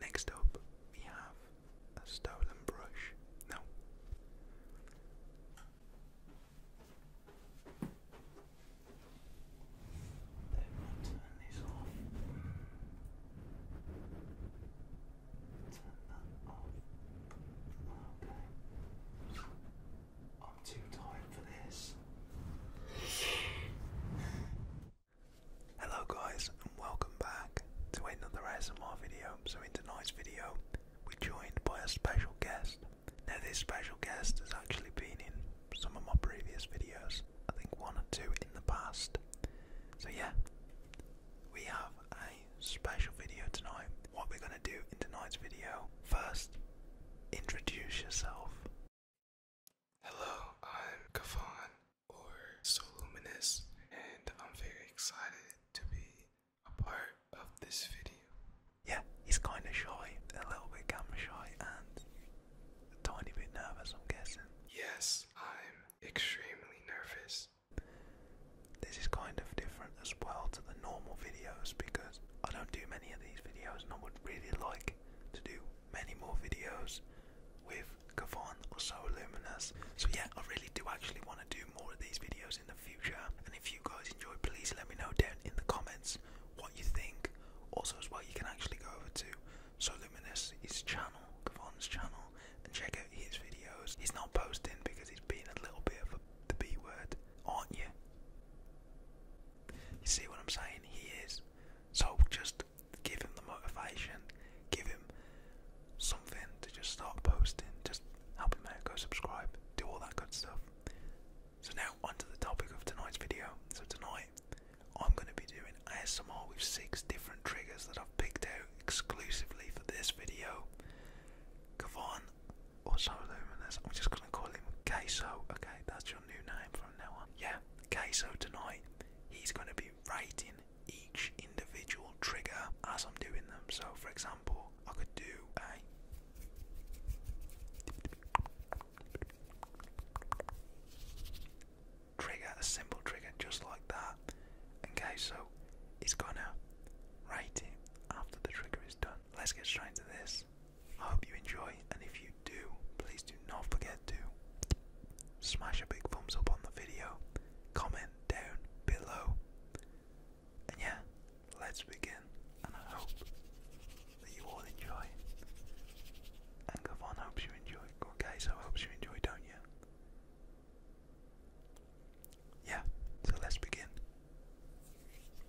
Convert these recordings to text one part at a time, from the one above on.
Next up, we have a stolen brush. No. Let me turn this off. Turn that off. Okay. I'm too tired for this. Hello guys and welcome back to another ASMR video. So in tonight's video we're joined by a special guest. Now this special guest has actually been in some of my previous videos. I think one or two in the past. So yeah, we have a special video tonight. What we're going to do in tonight's video, first introduce yourself. Hello, I'm Kafan or Soluminous, and I'm very excited to be a part of this video. Yeah, he's kind of shy, a little bit camera shy, and a tiny bit nervous, I'm guessing. Yes, I'm extremely nervous. This is kind of different as well to the normal videos because I don't do many of these videos, and I would really like to do many more videos with Kavon or so So yeah, I really do actually want to do more of these videos in the future. And if you guys enjoy, please let me know down in the comments what you think. Also as well, you can actually go over to So Luminous, his channel, Kavon's channel, and check out his videos. He's not posting because he's being a little bit of a, the B word, aren't you? You see what I'm saying? He is. So just give him the motivation, give him something to just start posting, just help him out, go subscribe, do all that good stuff. So now onto the topic of tonight's video. So tonight I'm going to be doing ASMR with six different triggers that I've picked out exclusively for this video. Kavan or so luminous. I'm just gonna call him Queso. Okay, that's your new name from now on. Yeah, Queso tonight. He's gonna be be writing each individual trigger as I'm doing them. So, for example, I could do a trigger, a simple trigger just like that. Okay, so it's gonna write it after the trigger is done. Let's get straight to this. I hope you enjoy, and if you do, please do not forget to smash a big thumbs up on the video, comment down below, and yeah, let's begin. And I hope that you all enjoy. And Gavon hopes you enjoy. Okay, so hopes you enjoy, don't you? Yeah, so let's begin.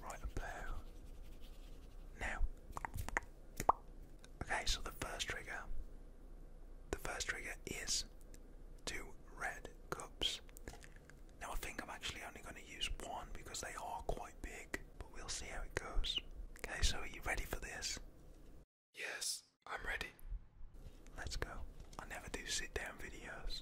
Right about now. Okay, so the first trigger the first trigger is two red cups. Now I think I'm actually only going to use one because they are quite big, but we'll see how it goes. Okay, so are you ready for this? Yes, I'm ready. Let's go. I never do sit down videos.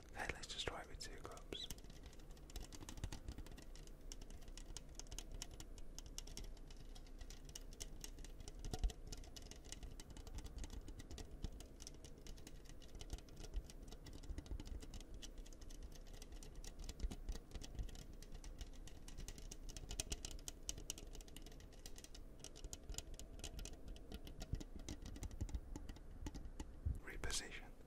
Hey, let's just try it with two cups. Reposition.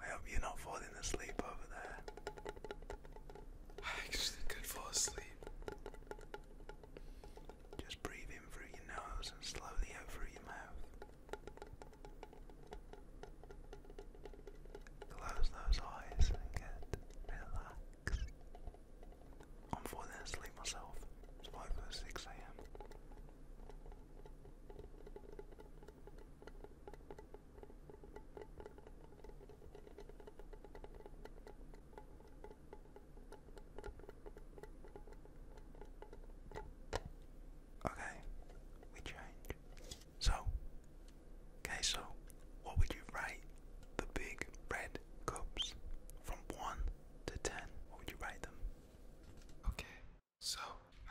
I hope you're not falling asleep over there. I actually could fall asleep. Just breathe in through your nose and slowly out through your mouth. Close those eyes and get relaxed. I'm falling asleep myself. It's over 6 a.m. Okay, we change. So, okay, so what would you rate the big red cups from 1 to 10? What would you rate them? Okay, so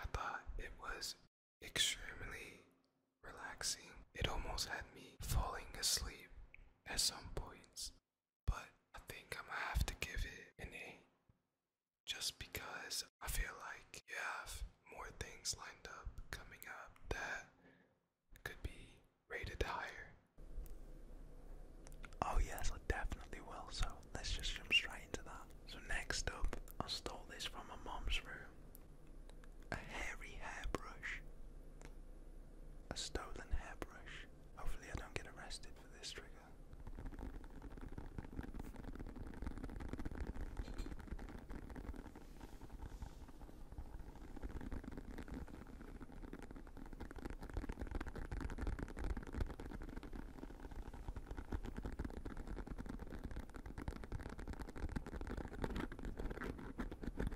I thought it was extremely relaxing. It almost had me falling asleep at some points but I think I'm have to give it an 8 just because I feel like you have more things lined up coming up that could be rated higher. Oh, yes, I definitely will. So let's just jump straight into that. So, next up, I stole this from my mom's room a hairy hairbrush. A stolen hairbrush. Hopefully, I don't get arrested for this trigger.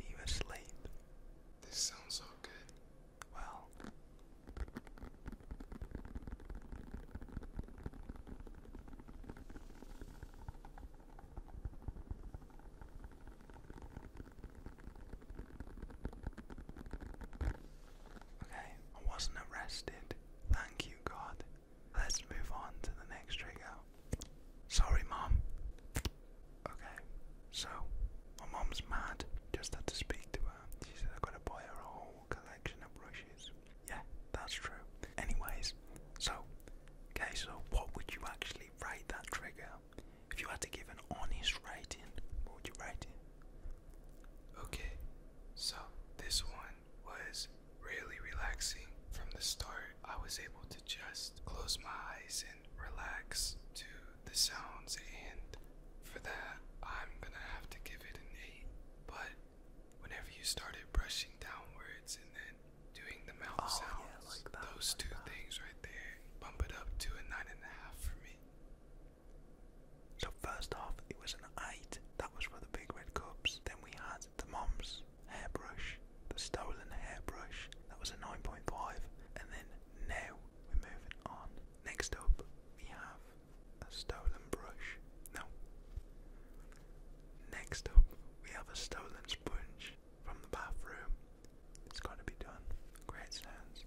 you asleep? This sounds so good. Well, okay, I wasn't arrested. Thank you, God. Let's move on to the next trigger. Sorry, Mom. Okay, so my mom's mad. Just had to speak to her. She said I've got to buy her a whole collection of brushes. Yeah, that's true. Anyways, so, okay, so what would you actually rate that trigger? If you had to give an honest rating, what would you rate it? Okay, so this one was really relaxing from the start. I was able to just close my eyes and relax to the sounds, and for that, I'm gonna have to give it an 8. But whenever you started brushing downwards and then doing the mouth oh, sounds, like those two things right there bump it up to a 9.5 for me. So, first off, it was an 8. That was for the big red cups. Then we had the Mum's Hairbrush, the Stolen Hairbrush, that was a 9.5. And then now we're moving on. Next up, we have a Stolen Brush. No. Next up, we have a Stolen Sponge from the bathroom. It's got to be done. Great sounds.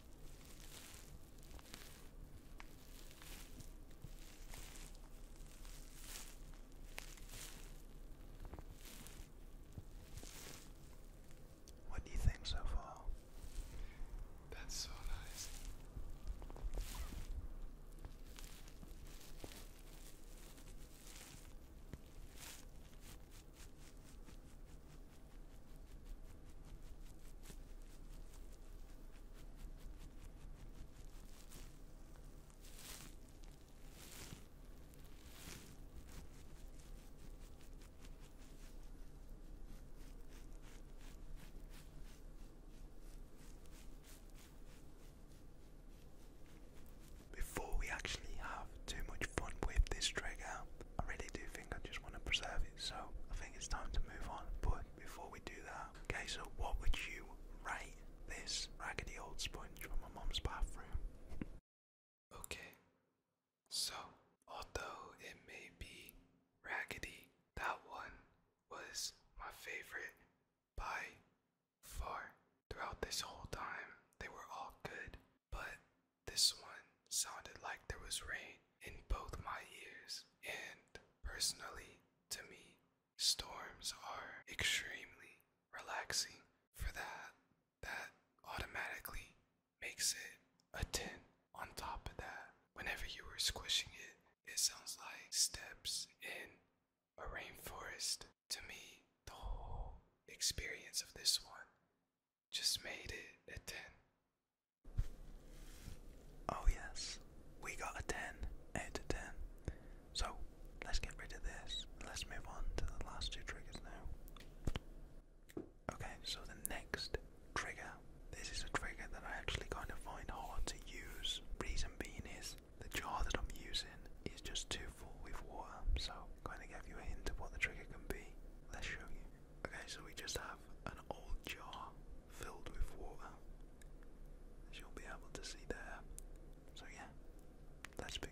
What do you think so far? That's so nice. Before we actually have too much fun with this trigger, I really do think I just want to preserve it, so I think it's time to move on. But before we do that, okay, so what would you rate this raggedy old sponge from my mom's bathroom? Okay, so although it may be raggedy, that one was my favorite by far. Throughout this whole time, they were all good but this one sounded like there was rain in both my ears. And personally, to me, storms are extremely relaxing. For that, that automatically makes it a 10. On top of that, whenever you were squishing it, it sounds like steps in a rainforest. To me, the whole experience of this one just made it a 10. Oh, yes, we got a 10 out 10. So let's get rid of this. Let's move on to the last two triggers now. Okay, so the next trigger this is a trigger that I actually kind of find hard to use. Reason being is the jar that I'm using is just too full with water, so kind of give you a hint of what the trigger can be. Let's show you. Okay, so we just have an old jar filled with water, you'll be able to see there. So, yeah, let's begin.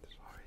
Well, sorry.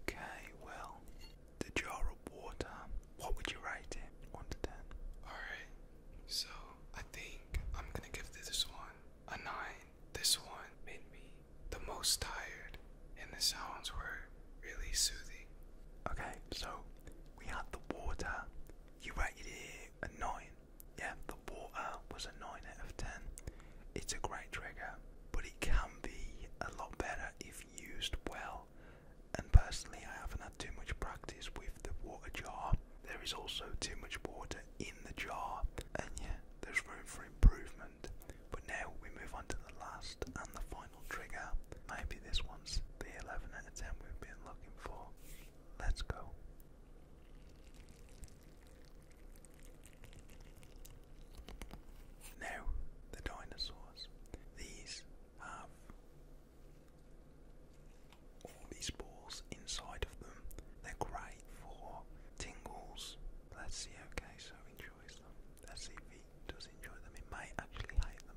Okay, well, the jar of water, what would you rate it? 1 to 10. Alright, so I think I'm gonna give this one a 9 this one made me the most tired, and the sounds were really soothing. Okay, so we had the water. You rated it a 9. Yeah, the water was a 9 out of 10. It's a great trigger, but it can be a lot better if used well. And personally, I haven't had too much practice with the water jar. There is also too much water in the jar, and yeah, there's room for improvement. But now we move on to the last and the final trigger. Maybe this one's the 11 out 10 we've been looking for. Let's go. Now, the dinosaurs. These have all these balls inside of them. They're great for tingles. Let's see, okay, so enjoys them. SCV does enjoy them. He might actually hate them.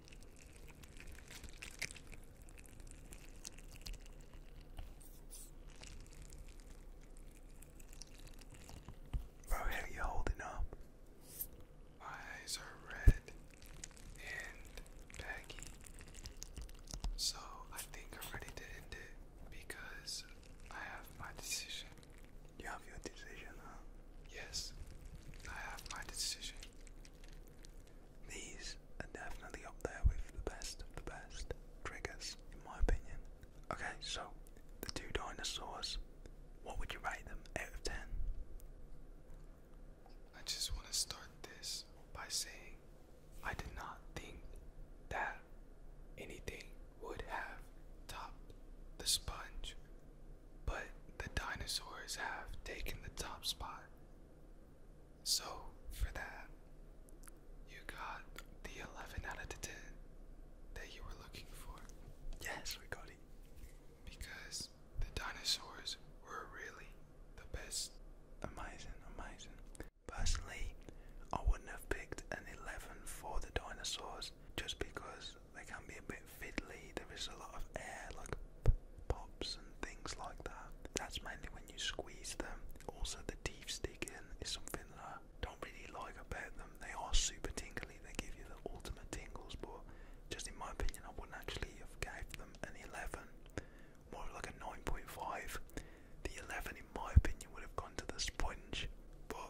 Bro, how you holding up? My eyes are red and baggy. So I think I'm ready to end it because I have my decision you have your decision, huh? Yes, I have my decision. These are definitely up there with the best of the best triggers, in my opinion. Okay, so the two dinosaurs, what would you rate them out of 10? I just want to start this by saying I did not think that anything would have topped the sponge but the dinosaurs have taken the top spot. So, for that, you got the 11 out of the 10 that you were looking for. Yes, we got it. Because the dinosaurs were really the best. Amazing, amazing. Personally, I wouldn't have picked an 11 for the dinosaurs just because they can be a bit fiddly. There is a lot of air, like pops and things like that. That's mainly when you squeeze them. Also, the teeth sticking is something that I don't really like about them. They are super tingly. They give you the ultimate tingles, but just in my opinion, I wouldn't actually have gave them an 11. More like a 9.5. The 11, in my opinion, would have gone to the sponge. But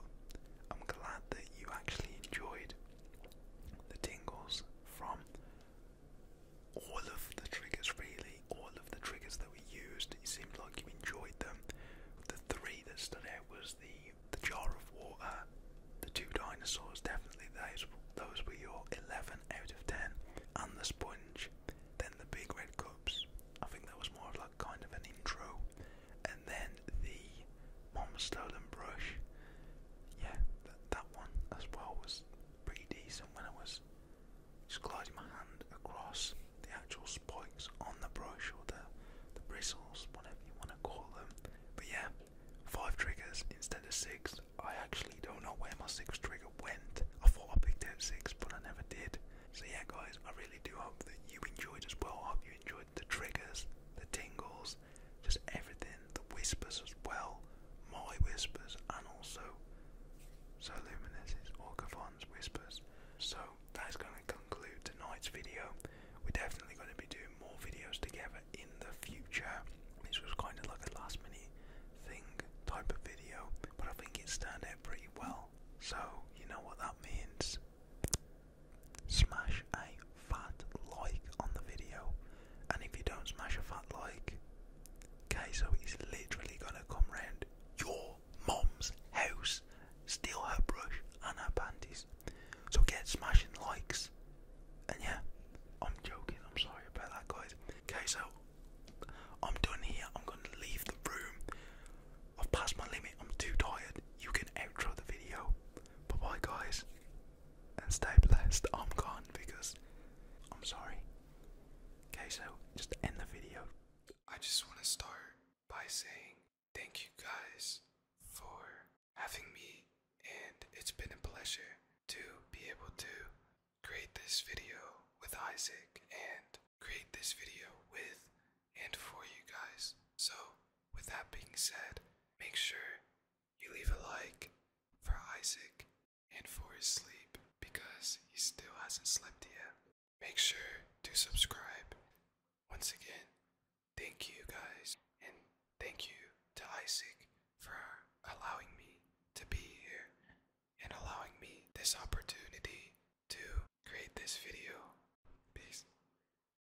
I'm glad that you actually enjoyed the tingles from all of the triggers, really, all of the triggers that we used. It seemed like you enjoyed them. The three that stood out was the the jar of water, the two dinosaurs. Definitely those those were your eleven out of ten, and the sponge. Then the big red cups. I think that was more of like kind of an intro and then the Mom Stolen Brush. Yeah, that, that one as well was pretty decent when I was just gliding my hand across the actual spikes on the brush or the, the bristles, whatever you want to call them. But yeah, five triggers instead of six. I actually don't know where my sixth trigger went. I thought I picked out six, but I never did. So yeah, guys, I really do hope that you enjoyed as well. I hope you enjoyed the triggers, the tingles, just everything, the whispers as well, my whispers, and also so Luminous' Orcafon's whispers. So that's going to conclude tonight's video. We're definitely going to be doing more videos together in the future. This was kind of like a last minute thing type of video, but I think it's turned out pretty well. So, you know what that means. Smash a fat like on the video, and if you don't smash a fat like, okay, so is literally gonna come round your mom's house, steal her brush and her panties. So get smashing likes. And yeah, I'm joking, I'm sorry about that, guys. Okay, so I'm done here, I'm gonna leave the room. I've passed my limit, I'm too tired. You can outro the video. Bye bye, guys, and stay blessed. I'm gone because I'm sorry. Okay, so just end the video. I just want to start by saying thank you guys for having me, and it's been a pleasure to be able to create this video with Isaac and create this video with and for you guys. So, with that being said, make sure you leave a like for Isaac and for his sleep because he still hasn't slept yet. Make sure to subscribe. Once again, thank you guys and thank you to Isaac for allowing me to be here and allowing me this opportunity to create this video. Peace.